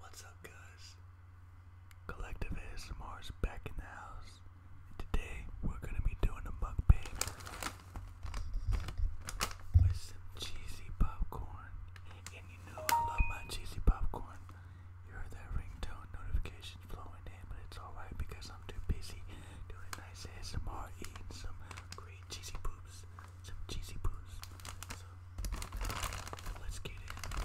What's up guys? Collective ASMR is back in the house. Today we're gonna be doing a mukbang with some cheesy popcorn. And you know I love my cheesy popcorn. You heard that ringtone notification flowing in, but it's alright because I'm too busy doing nice ASMR eating some great cheesy poops some cheesy poos. So let's get in.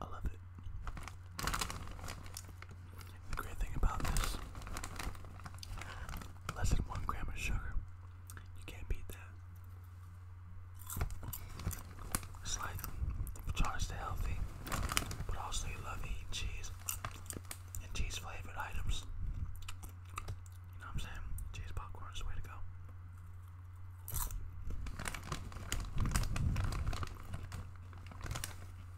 I love it. The great thing about this, less than one gram of sugar. You can't beat that. It's like if you're to stay healthy, but also you love eating cheese and cheese flavored items. You know what I'm saying? Cheese popcorn is the way to go.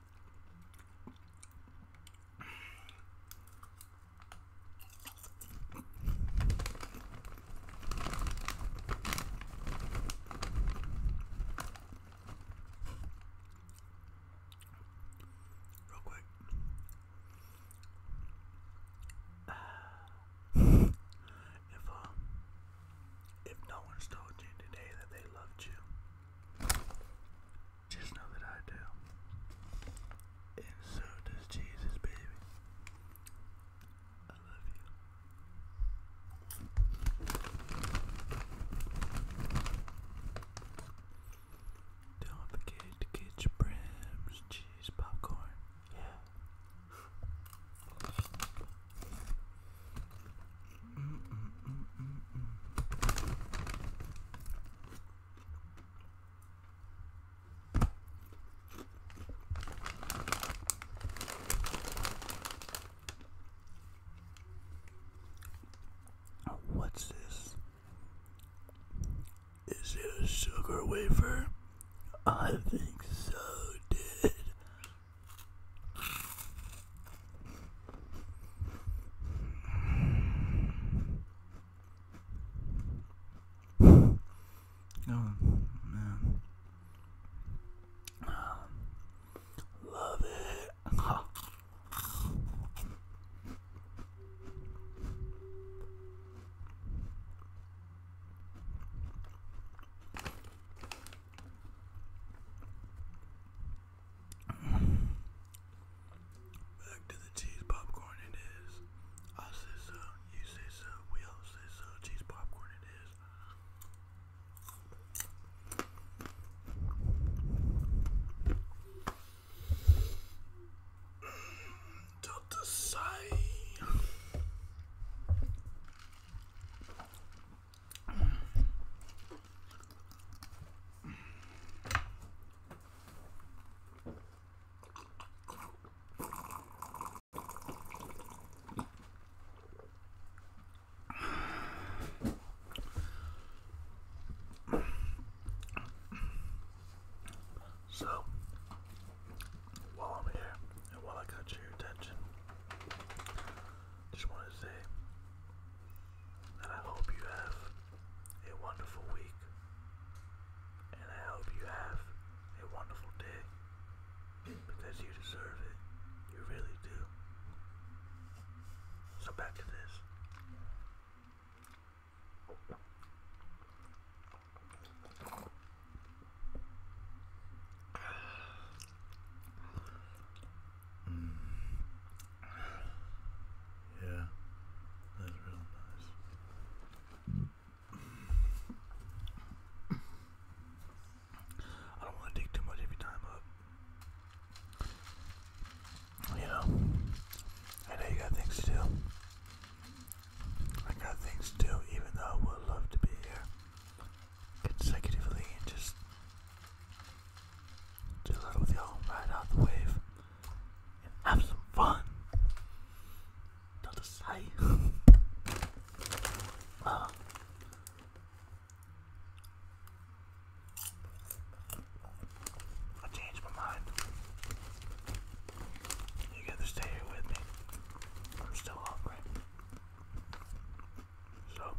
Real quick. if um, if no one's told you today that they loved you, just know that I do. And so does Jesus, baby. I love you. Don't forget to get your brems, cheese, popcorn. Yeah. What's this? Is it a sugar wafer? I think so, Did. Oh, man. Love it. Back to the cheese popcorn it is. I say so, you say so, we all say so, cheese popcorn it is. Delta Psi. So, while I'm here and while I got your attention, just want to say that I hope you have a wonderful week, and I hope you have a wonderful day because you deserve it. You really do. So, back to this. Mm. Yeah, that's real nice. I don't want to take too much of your time up. You know, I know you got things to do. I got things to do, even though I would love to be here consecutively and just chill out with y'all, ride out the wave, and have some fun. Not a sight. I changed my mind. You gotta stay here with me. I'm still hungry. So,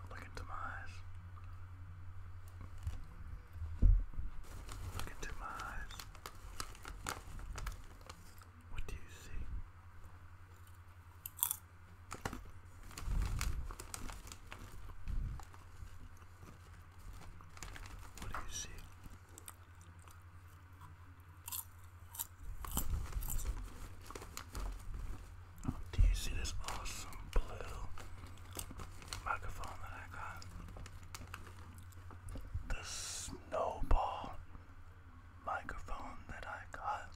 Look into my eyes. Look into my eyes. What do you see? What do you see? Oh, do you see this awesome blue microphone that I got? The snowball microphone that I got.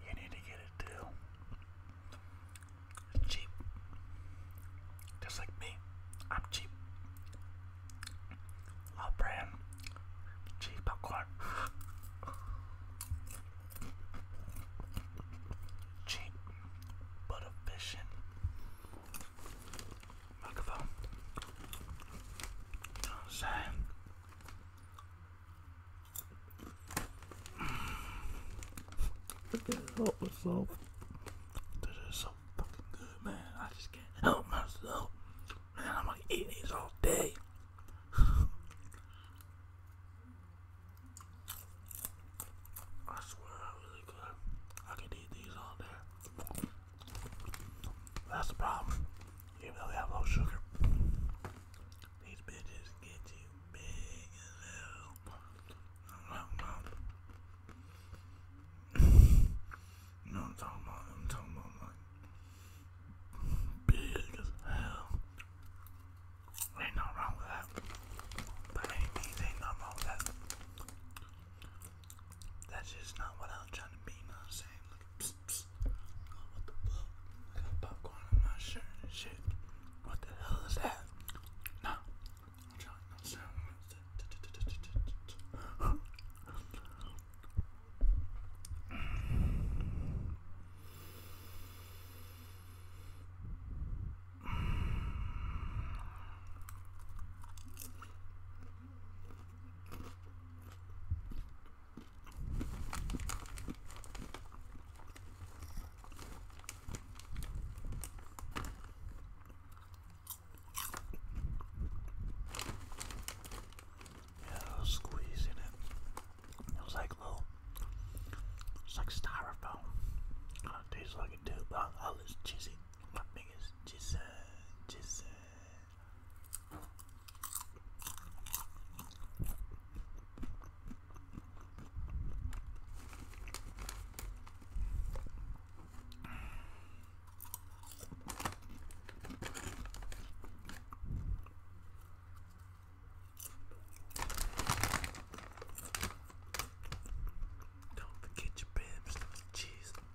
You need to get it too. cheap. Just like me. I'm cheap. Love brand. Cheap popcorn. Cheap but efficient microphone. You know what I'm can't help myself. This is so fucking good, man. I just can't help myself. Man, I'm like eating these all day. I swear, I'm really good. I could eat these all day. That's the problem. Even though they have low sugar, these bitches get you big as hell. No, no. no, I'm talking about, I'm talking about like big as hell. Ain't nothing wrong with that. But ain't, ain't nothing wrong with that. That's just not what I was trying to be, you I'm saying? look, psst, psst. Oh, what the shit. What the hell is that? No. I'm trying to sound yeah, I was squeezing it. It was like little, it's like styrofoam. Kind of tastes like it too, but all this cheesy. My fingers, cheese, cheese, don't forget your bread, cheese.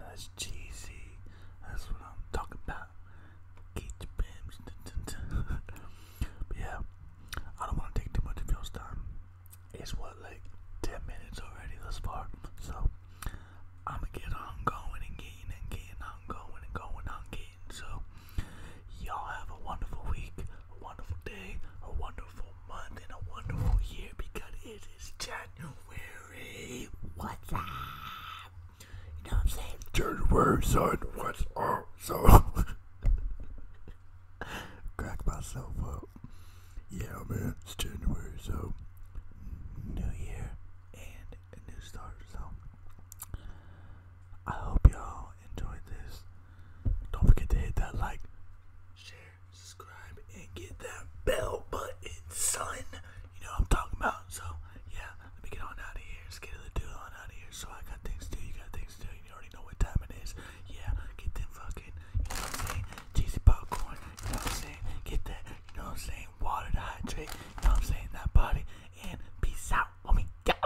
That's cheesy. That's what I'm talking about. Get your pims. but yeah, I don't want to take too much of you time. It's what, like 10 minutes already thus far. So I'm gonna get on going and getting and getting on going and going on getting. So Y'all have a wonderful week, a wonderful day, a wonderful month, and a wonderful year because it is January. What's up? You know what I'm saying? January, son. What's up, son? Crack myself up. Yeah, man. It's January, so new year and a new start. So I hope y'all enjoyed this. Don't forget to hit that like, share, subscribe, and get that bell button, son. You know what I'm talking about. So, yeah, let me get on out of here. let get the dude on out of here. So, I got things to do. You got things to do. You already know what time it is. Yeah, get them fucking, you know what I'm saying? Cheesy popcorn. You know what I'm saying? Get that, you know what I'm saying? Water to hydrate. You know what I'm saying? That body. And peace out. Let me get